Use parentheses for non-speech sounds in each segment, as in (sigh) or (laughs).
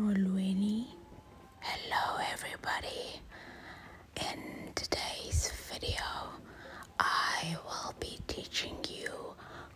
Molweni. Hello everybody. In today's video, I will be teaching you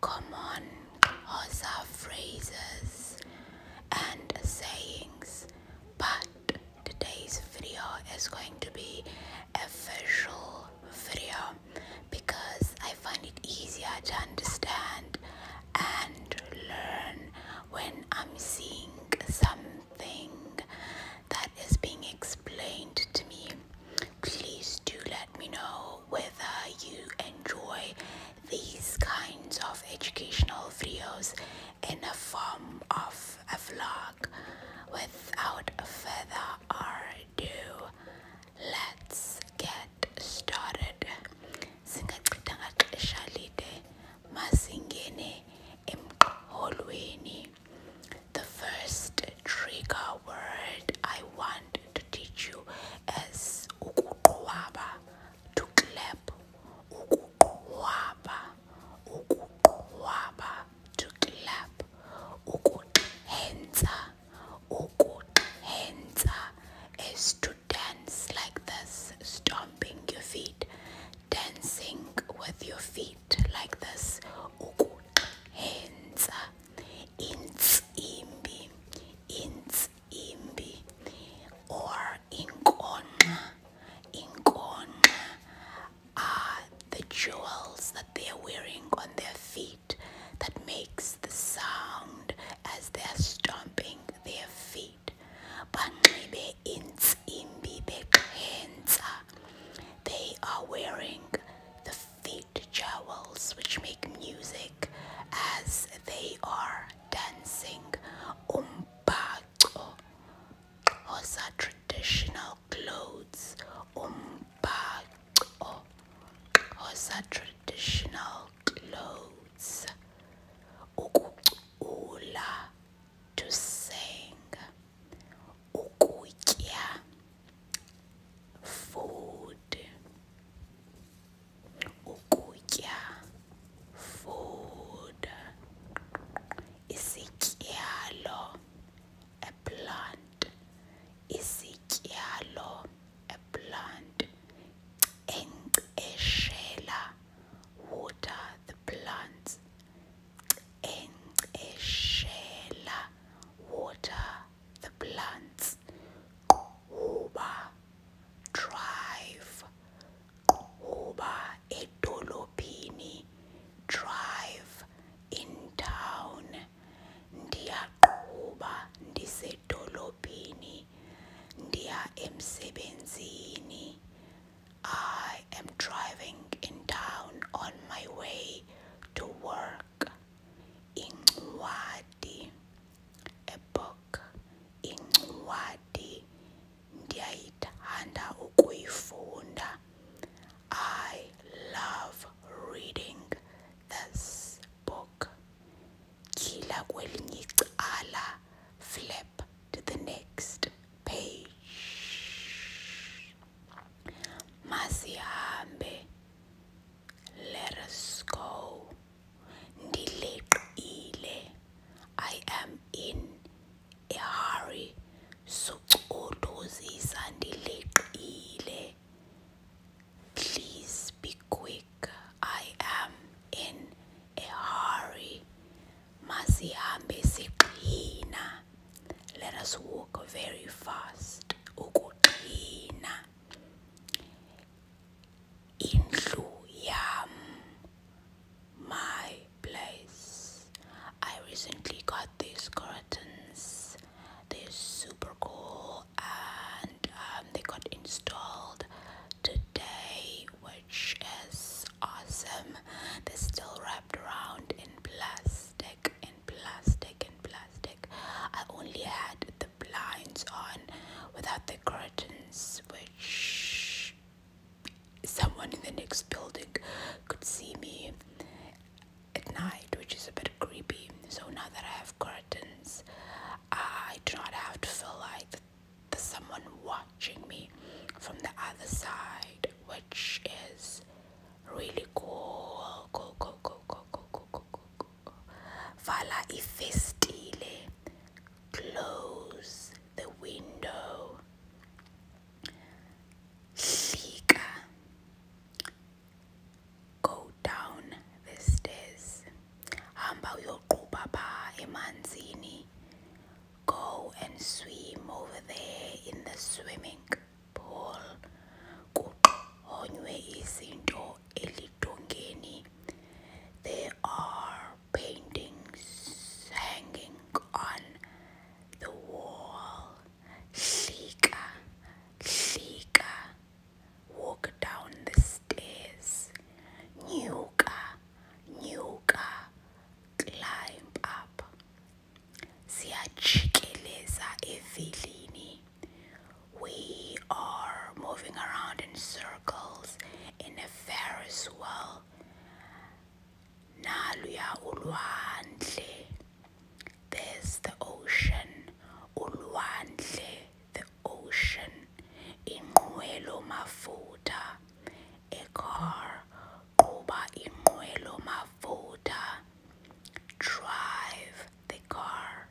common Hausa phrases and sayings. But today's video is going to be a visual video because I I find it easier to understand and learn when I'm seeing something that is being explained to me. Please do let me know whether you enjoy these kinds of educational videos in a form of a vlog. Without further ado, let's get that started singachithanga xesha lide masingene emqholweni the first trigger word i want to teach you is ukuqwaba to clap ukuqwaba ukuqwaba to clap ukuhenza ukuhenza is to dance like this, stomping your feet, dancing with your feet like this. Hands, ins imbi, ins imbi, or inkona, inkona are the jewels that they are wearing on their feet that makes the sound as they are stomping their feet. but maybe in the intsimbi beqhensa. They are wearing the feet jewels which make music as they are dancing. Umbaco. Those are traditional clothes. Umbaco. Those are traditional clothes words ukucula to sing ukutya food ukutya food isityalo a plant isityalo a plant Enkeshela, water the plants. Enkeshela, water the plants. Kuba, drive. Kuba, edolopini, drive in town. Ndiyaquba ndisedolobheni ndiya emsebenzini I am driving in town on my way to work incwadi a book incwadi ndiyayithanda ukuyifunda I love reading this book Kila kwelinye icala. Flip to the next page. Masihambe. Let us go. Ndiliqile. I am in a hurry. Sucuduzisa ndiliqile. Please be quick. I am in a hurry. Masihambe siqhina. Let us walk very fast. Ukuqhina. Indlu yam. My place. I recently got these curtains. They're super cool and um, they got installed today, which is awesome. They're still wrapped around in plastic, in plastic, in plastic. I only had the blinds on without the curtains, which someone in the next building could see me at night, which is a bit creepy. So now that I have curtains, I do not have to feel like there's someone watching me from the other side, which is really cool. Cool, cool, cool, cool, cool, cool, cool, cool. Vala ifestile. Close the window. Hlika go down the stairs hamba uyoqubha pha emanzini go and swim over there in the swimming pool kuxhonywe izinto elidongeni there are paintings hanging on the wall hlika hlika Walk down the stairs. Nyuka, nyuka, climb up. Siyajikeleza evilini. We are moving around in circles in a Ferris wheel. Naluya ulwandle. There's the ocean. Ulwandle the ocean, inqwelo mafutha, a car, quba inqwelo mafutha, drive the car,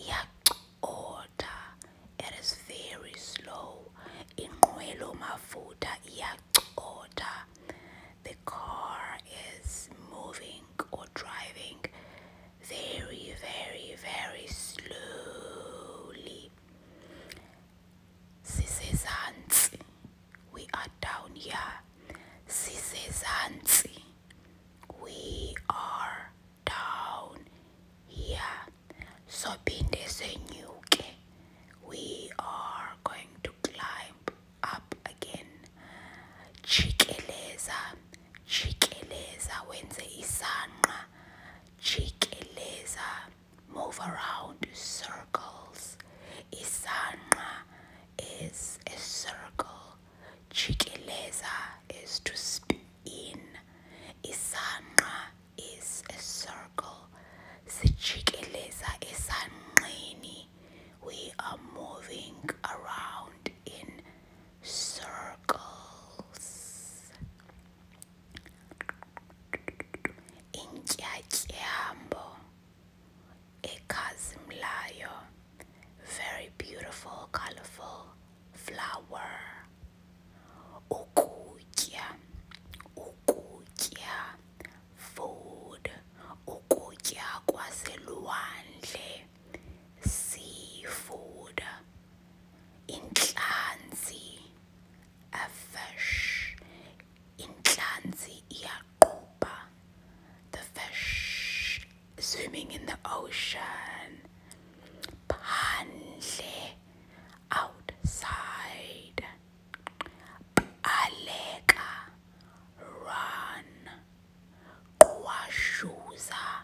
iyacotha, it is very slow, inqwelo mafutha iyacotha, the car is moving or driving very, very, very slowly. Sisezansi, we are down here. This is Sisezansi, we are down here. So Pindesenyuke, we are going to climb up again. Chikeleza jikeleza wenze isanqa jikeleza move around in circles isanqa is a circle jikeleza is to spin in isanqa is a circle is a esanqeni we are moving around in circles intyatyambo ekhazimlayo very beautiful colorful flower ukutya ukutya food ukutya kwaselwandle seafood inhlanzi a fish inhlanzi iyaqubha the fish swimming in the ocean phandle outside aleka run kwashuza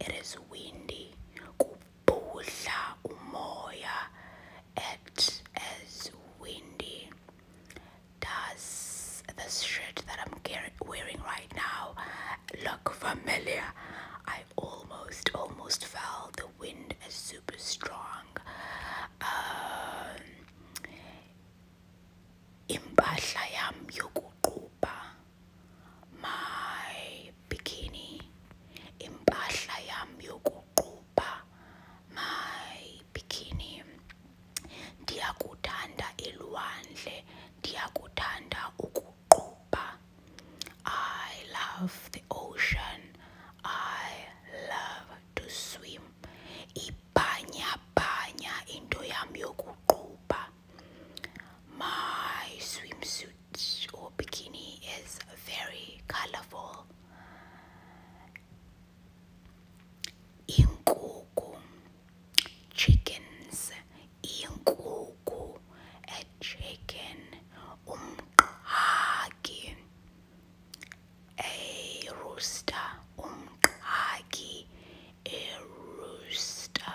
it is windy kubhudla umoya it is windy does this shirt that I'm wearing right now look familiar I almost almost fell the wind is super strong um impahla yam my bikini impahla yami yokuqubha my bikini ndiyakuthanda ilwandle ndiyakuthanda ukuqubha I love the ocean I love to swim ibhanya bhanya into yami yokuqubha my swimsuit or bikini is very colorful. Inkuku, chickens, inkuku, a chicken, umqhagi, a rooster, umqhagi, a rooster.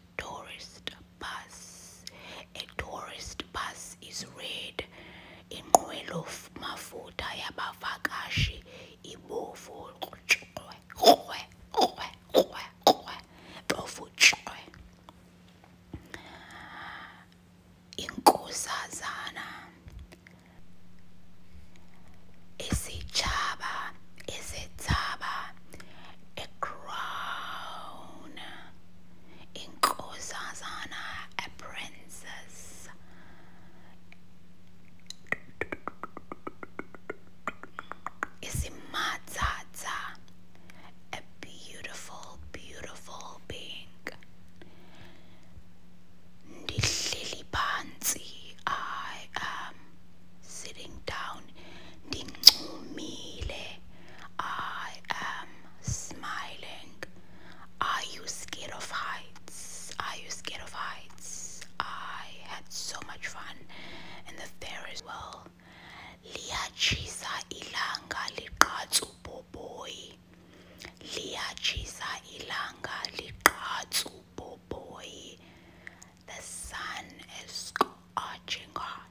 tourist bus. A tourist bus is red. Inqwelo mafutha yabavakashi ibovu. Inkosazana Isichaba Isitsaba A crown inkosazana apprentices isimatata a beautiful beautiful being ndihleli phansi i am sitting down ndincumile I am smiling. Are you scared of heights? Are you scared of heights? I had so much fun in the fair as well. Liyachisa ilanga liqhatsu boboy. Liyachisa ilanga liqhatsu boboy. The sun is scorching hot.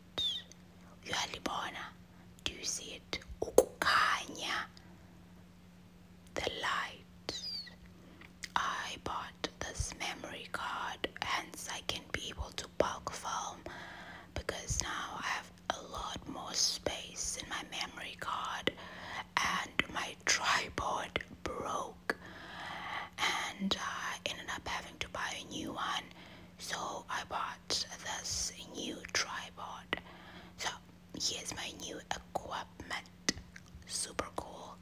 uyalibona do you see it ukukhanya the light i bought this memory card hence i can be able to bulk film because now i have a lot more space in my memory card and my (laughs) tripod broke and i uh, ended up having to buy a new one so I bought this new tripod. So here's my new equipment. Super cool.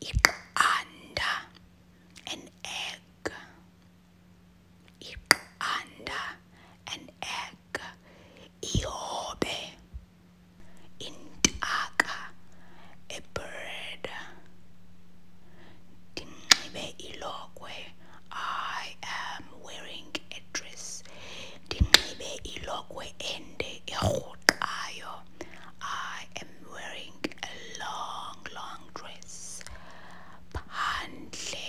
Ik an egg. Ik an egg. Iobe intaka a bird. Dinxibe ilokwe I am wearing a dress. Ndinxibe ilokhwe ende erhoqayo. I am wearing a long long dress. Phandle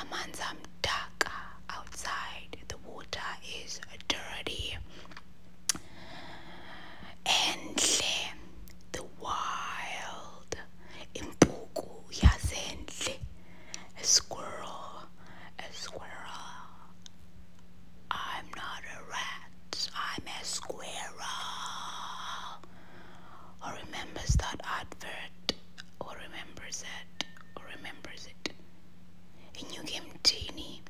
amanzi amdaka outside. The water is dirty. Enhle the wild impuku yazendle a squirrel a squirrel I'm not a rat I'm a squirrel who remembers that advert who remembers it who remembers it a new game genie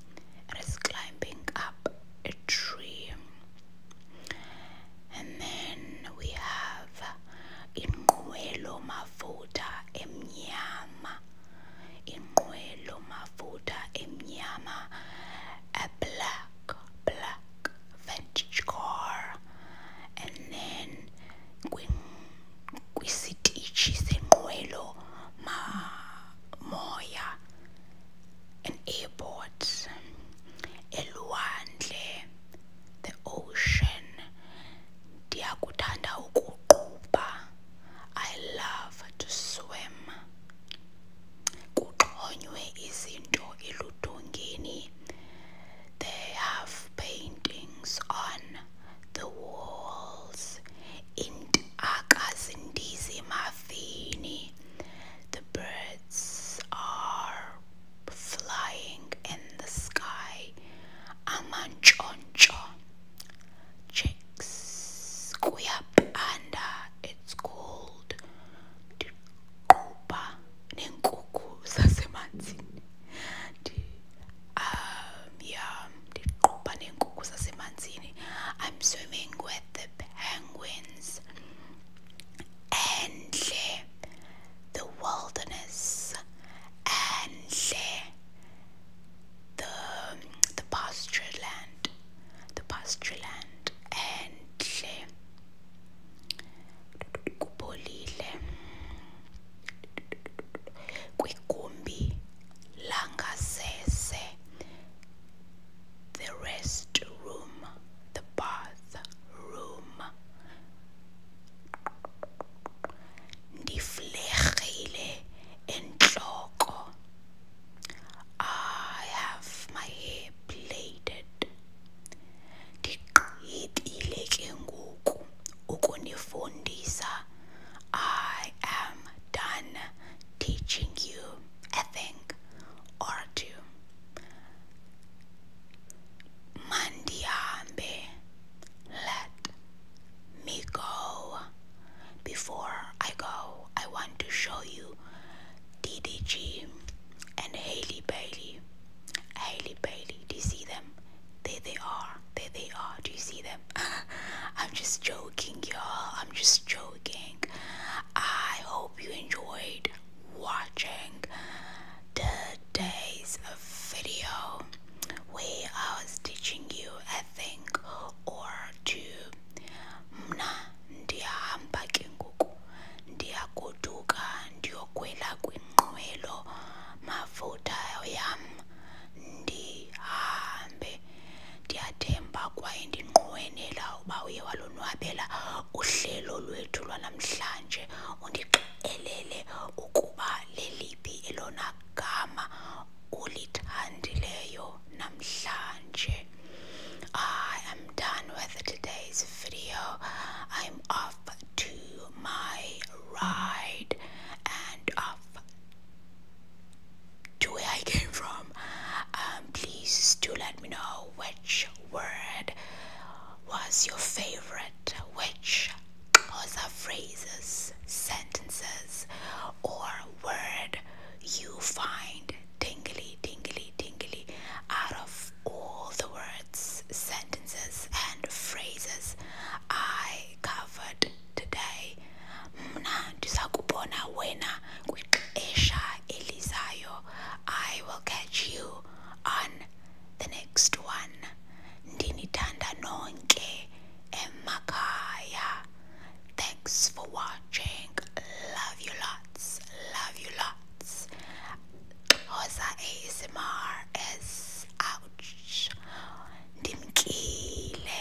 is climbing up a tree and then we have inqwelo mafutha emnyama inqwelo mafutha emnyama a black black vintage car and then kwisitishi senqwelo ma moya an airport elwandle the ocean ndiyakuthanda ukuqubha i love to swim kuxhonywe izinto eludongeni they have paintings on the walls iintaka zindizimafini the birds are flying in the sky. Amanchoncho. Chicks up and uh, it's called Kuba Ninkuku Sasemansin. Um yeah, Kuba Ninkuku Sasemansin. I'm swimming with the penguins Enli, the wilderness, and the the pasture land, the pasture land, Enli, kubolile, kwigumbi langasese, the rest room the bathroom. Ndiflekile entloko. I have my hair plaited. Ndigqithile ke ngoku ukunifundisa. I am done teaching you a thing or two. Mandiambe, let me go. Before I go, I want to show you DDG and Haley Bailey. Haley Bailey, do you see them? There they are. There they are. Do you see them? (laughs) I'm just joking, y'all. I'm just joking. I hope you enjoyed watching today's video we are teaching you a thing or two mna ndiyahamba ke ngoku ndiyagoduka ndiyokhwela kwinqwelo mafutha yam ndihambe ndiyathemba kwaye ndinqwenela uba uye walonwabela uhlelo lwethu lwanamhla I am done with today's video. I'm off to my ride and off to where I came from. Um, please do let me know which word was your favorite? Which other phrases, sentences, or word you find tingly, tingly, tingly out of all the words, sentences, and phrases I covered today? I will catch you on the next one. Ndinitanda nonke emakaya. Thanks for watching. Love you lots. Love you lots. Hosa ASMR is ouch. Ndimkile.